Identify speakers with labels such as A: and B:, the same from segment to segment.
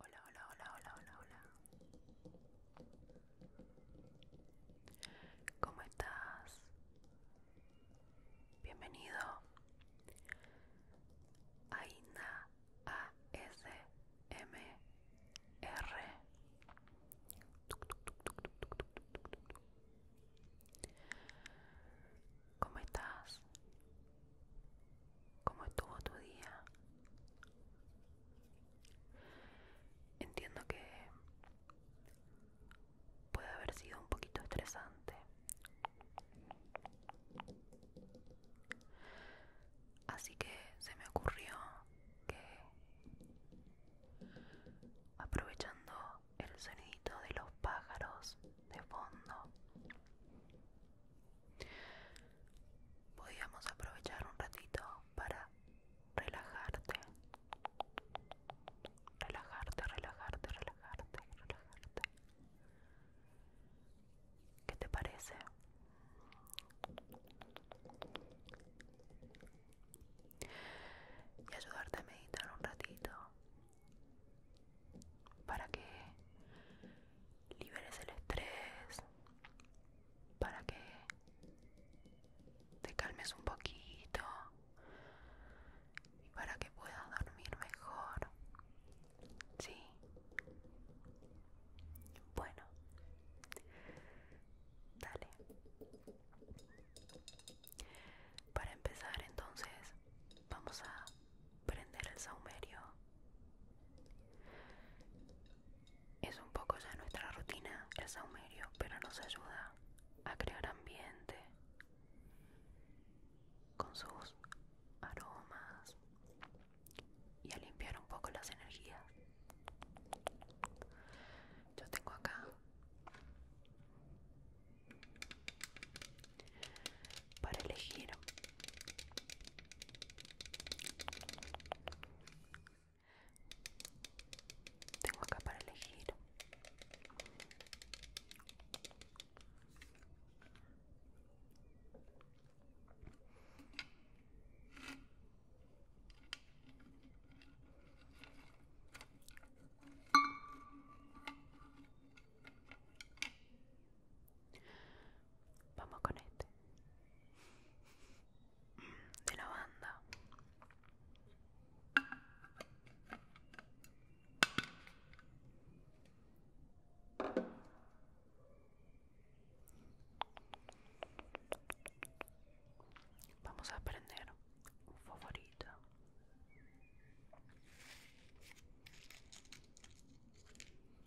A: Hola, hola, hola, hola, hola, hola. ¿Cómo estás? Bienvenido a M R ¿Cómo estás? ¿Cómo estuvo tu día? Entiendo que puede haber sido un poquito estresante. Así que se me ocurrió que aprovechando el sonidito de los pájaros de fondo Podríamos aprovechar un ratito para relajarte. Relajarte, relajarte, relajarte, relajarte. ¿Qué te parece? Y ayudarte a meditar un ratito para que liberes el estrés, para que te calmes un poquito y para que puedas dormir mejor. Sí. Bueno. Dale. Para empezar entonces vamos a prender el saumerio. Es un poco ya nuestra rutina el saumerio, pero nos ayuda a crear ambiente con sus aromas y a limpiar un poco las energías. Yo tengo acá para elegir. Tengo acá para elegir. Vamos con este. De la banda. Vamos a aprender un favorito. Vamos entonces.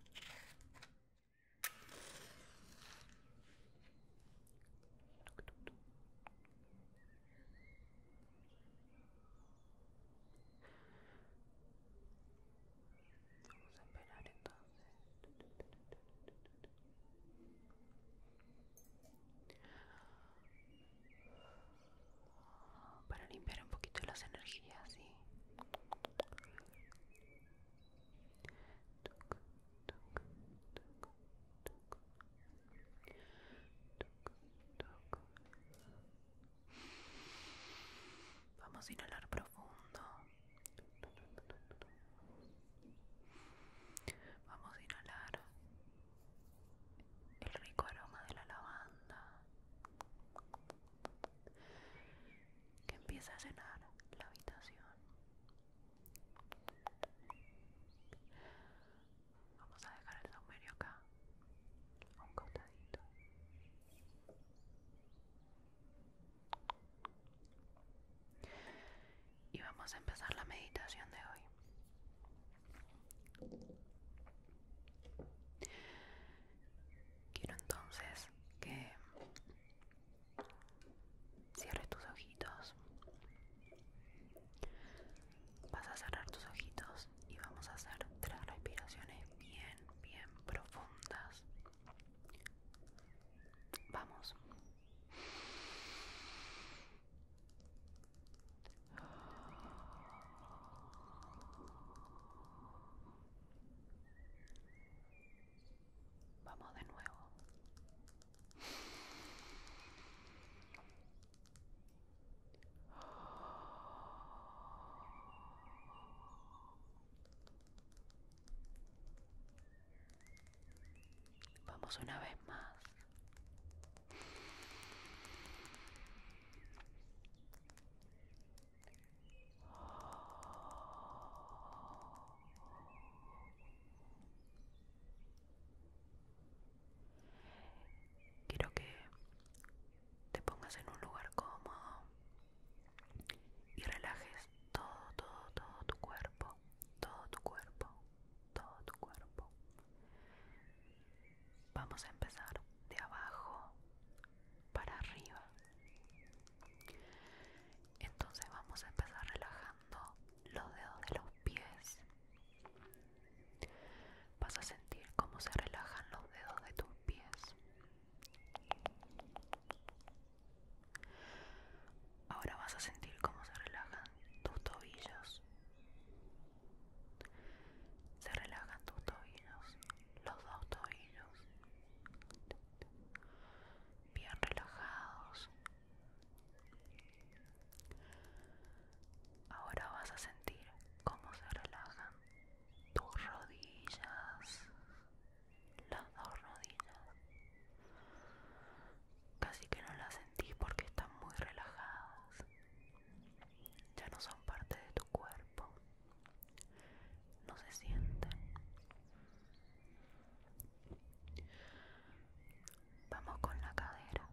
A: Para limpiar un poquito las energías, sí. Vamos a inhalar profundo. Vamos a inhalar el rico aroma de la lavanda que empieza a cenar la habitación. Vamos a dejar el sombrero acá, un costadito. Y vamos a empezar la meditación de hoy. Quiero entonces que cierres tus ojitos. Vas a cerrar tus ojitos y vamos a hacer tres respiraciones bien, bien profundas. Vamos. Vamos de nuevo. Vamos una vez más. Quiero que te pongas en un lugar cómodo y relajes todo, todo, todo tu cuerpo, todo tu cuerpo, todo tu cuerpo. Vamos a empezar de abajo para arriba. Entonces vamos a empezar relajando los dedos de los pies. Vas a sentir cómo se relajan los dedos de tus pies. Ahora vas a sentir cómo se relajan tus tobillos. Se relajan tus tobillos, los dos tobillos bien relajados. Ahora vas a sentir cómo se relajan tus rodillas, las dos rodillas. Casi que no las sentís porque están muy relajadas. Ya no son parte de tu cuerpo no se siente Vamos con la cadera.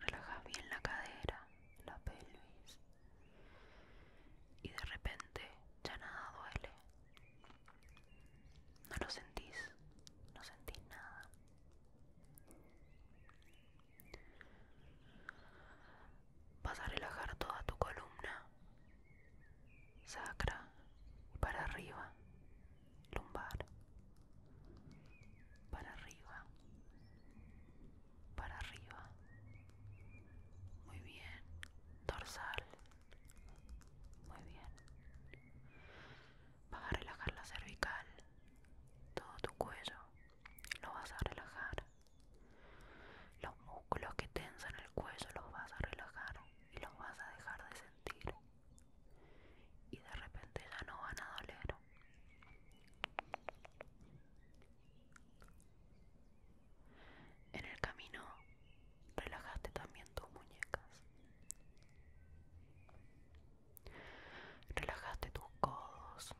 A: Relaja bien la cadera, la pelvis. Y de repente ya nada duele. No lo sentís, no sentís nada. Vas a relajar toda tu columna, sacra, para arriba, lumbar, para arriba, para arriba. Muy bien, dorsal. Muy bien. Vas a relajar la cervical, todo tu cuello. Lo vas a relajar. Los músculos que tensan el cuello los vas a relajar y los vas a dejar de sentir. Y de repente ya no van a doler. En el camino relajaste también tus muñecas. Relajaste tus codos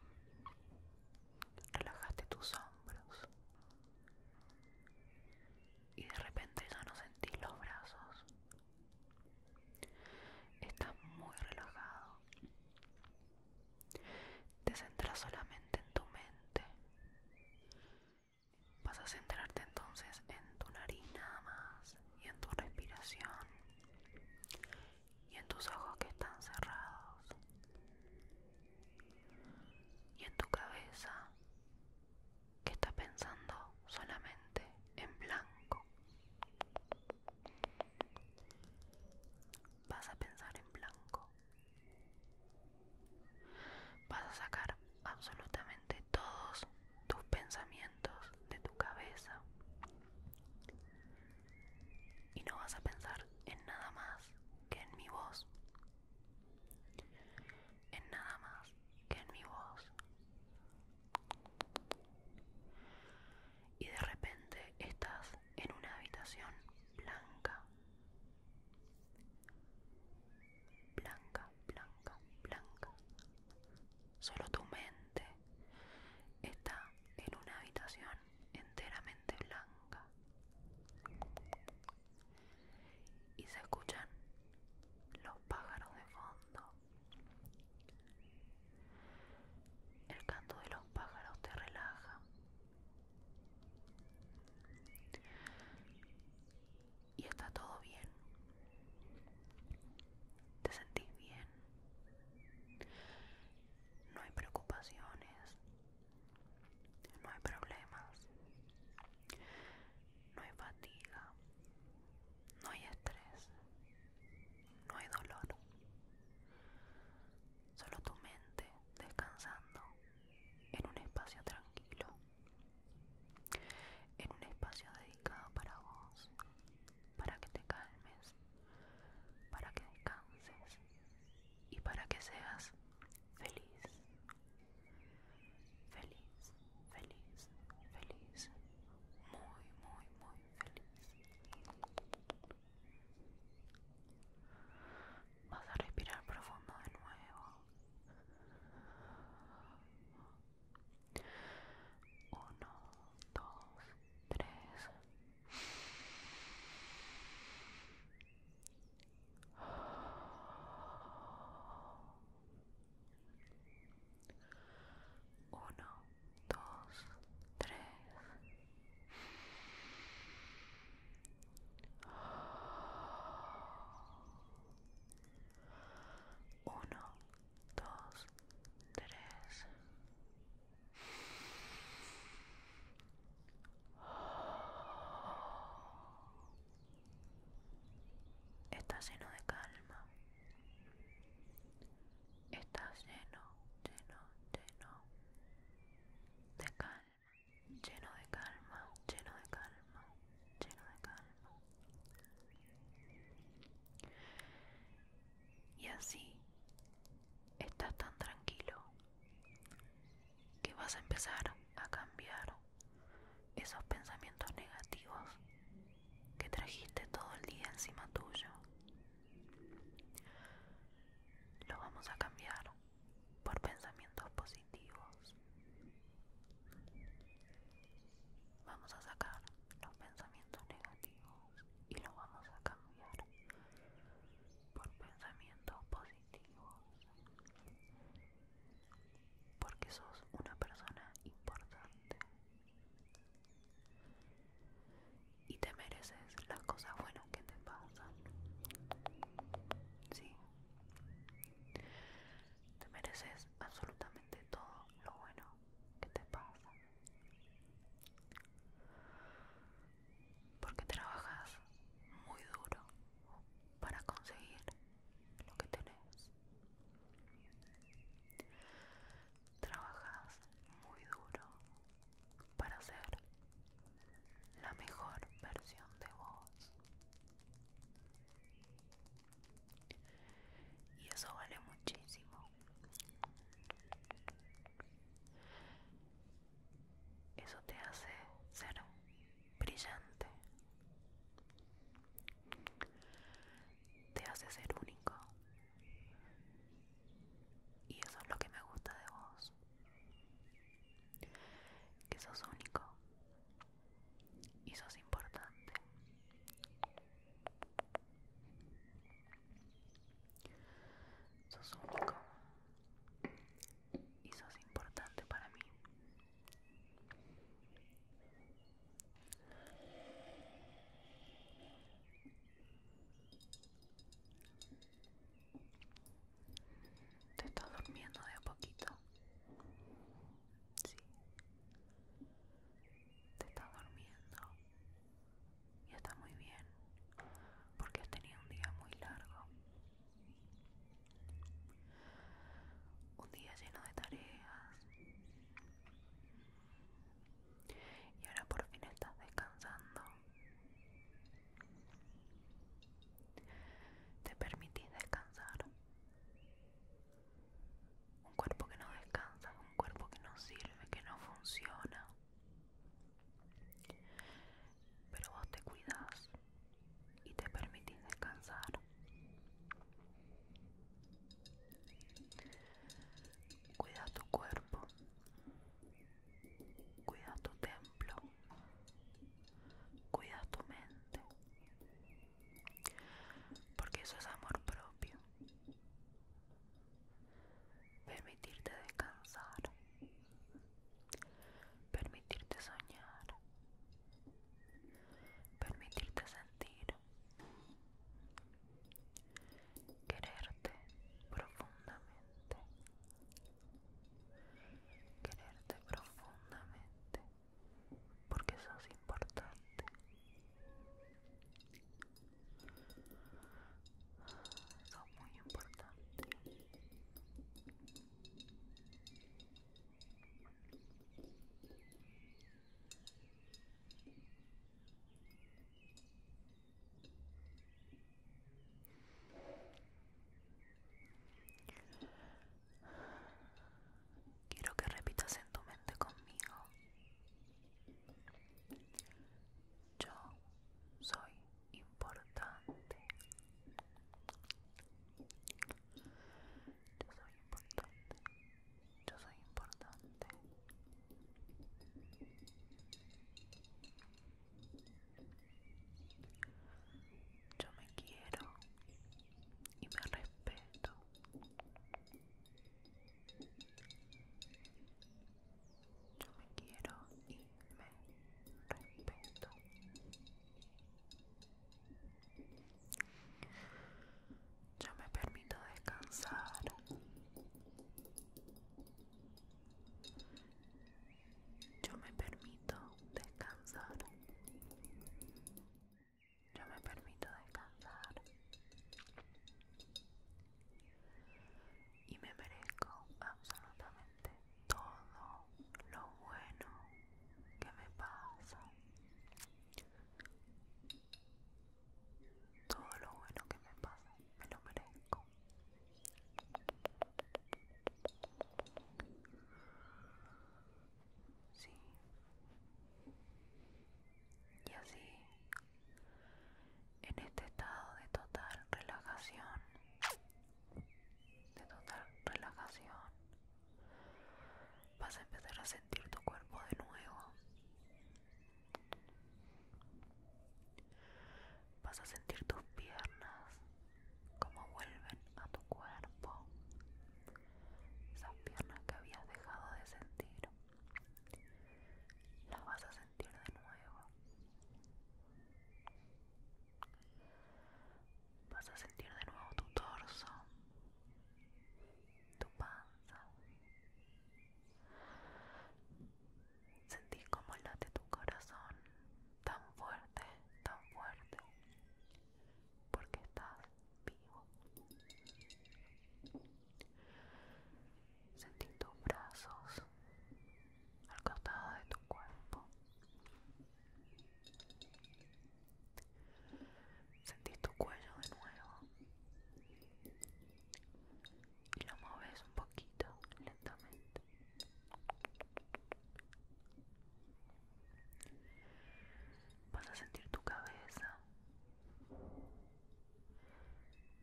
A: relajaste tus hombros y de repente ya no sentís los brazos. Estás muy relajado. Te centras solamente en tu mente. Vas a centrarte entonces en tu nariz nada más y en tu respiración y en tus ojos que están cerrados y en tu cabeza que está pensando solamente en blanco. Vas a pensar en blanco. Vas a sacar absolutamente todos tus pensamientos de tu cabeza y no vas a pensar en nada más que en mi voz. En nada más que en mi voz. Y de repente estás en una habitación blanca. Blanca, blanca, blanca. Solo tu mente está en una habitación enteramente blanca y se escuchan los pájaros de fondo el canto de los pájaros te relaja y está todo bien te sentís bien no hay preocupaciones, no hay problemas, no hay fatiga, no hay estrés, no hay dolor, solo tu mente descansando en un espacio tranquilo, en un espacio dedicado para vos, para que te calmes, para que descanses, y para que seas feliz. Feliz, feliz, feliz. Muy, muy, muy feliz. Vas a respirar profundo de nuevo. Uno, dos, tres, uno, dos, tres. Uno, dos, tres. Está lleno de calma. Está lleno, lleno, lleno de calma. Lleno de calma, lleno de calma, lleno de calma. Y así estás tan tranquilo que vas a empezar a cambiar esos pensamientos negativos que trajiste todo el día encima tuyo. Los vamos a cambiar por pensamientos positivos. Vamos a sacar los pensamientos negativos y los vamos a cambiar por pensamientos positivos, porque sos una persona importante y te mereces las cosas buenas que te pasan. Sí, te mereces absolutamente todo lo bueno que te pasa porque trabajas muy duro para conseguir lo que tenés. Trabajas muy duro para ser la mejor versión de vos. Y eso vale muchísimo. Eso te hace ser brillante. Te hace ser único. Y eso es lo que me gusta de vos. Que sos único. Y sos importante. Sos único y es importante para mí. Te está durmiendo de a poquito. Sí. Te está durmiendo y está muy bien porque has tenido un día muy largo. Un día lleno de tareas. Y ahora por fin estás descansando. Te permitís descansar. Un cuerpo que no descansa, un cuerpo que no sirve, que no funciona. Pero vos te cuidas y te permitís descansar. Cuida tu cuerpo, cuida tu templo, cuida tu mente, porque eso es amor propio permitirte descansar, permitirte soñar, permitirte sentir, quererte profundamente, quererte profundamente porque sos importante es muy importante Quiero que repitas en tu mente conmigo. Yo soy importante. Yo soy importante. Yo soy importante. Yo me quiero y me respeto yo me quiero y me respeto. Yo me permito descansar. Yo me permito descansar. Yo me permito descansar y me merezco absolutamente todo lo bueno que me pasa todo lo bueno que me pasa me lo merezco sí y así en este estado de total relajación de total relajación vas a empezar a sentir tu cuerpo de nuevo vas a sentir tus piernas como vuelven a tu cuerpo esas piernas que habías dejado de sentir las vas a sentir de nuevo. Vas a sentir de nuevo tu torso, tu panza. Sentís como late tu corazón tan fuerte, tan fuerte, porque estás vivo. Sentís tus brazos al costado de tu cuerpo. Sentís tu cuello de nuevo y lo mueves un poquito lentamente. Vas a sentir tu cabeza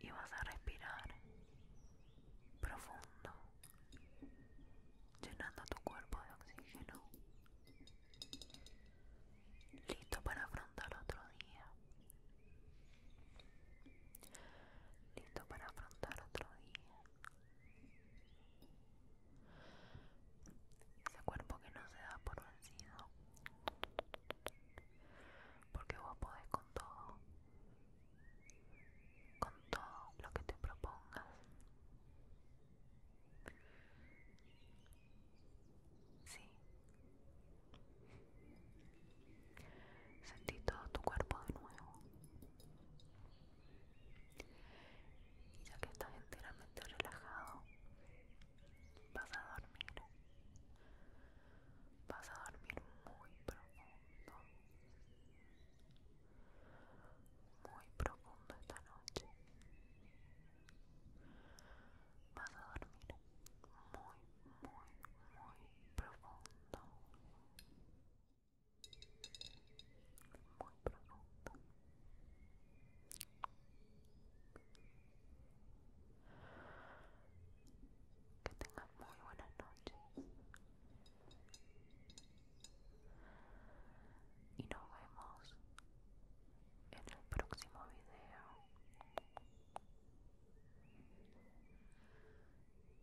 A: y vas a respirar profundo, llenando tu cuerpo de oxígeno, listo para afrontar otro día, listo para afrontar otro día. Ese cuerpo que no se da por vencido. Porque vos podés con todo con todo lo que te propongas. Sí. Sentí todo tu cuerpo de nuevo. Y ya que estás enteramente relajado, vas a dormir. Vas a dormir muy profundo muy profundo esta noche. Vas a dormir muy, muy, muy profundo. Muy profundo muy buenas noches y nos vemos en el próximo video.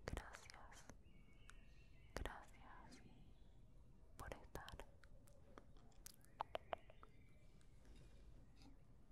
A: Gracias, gracias por estar.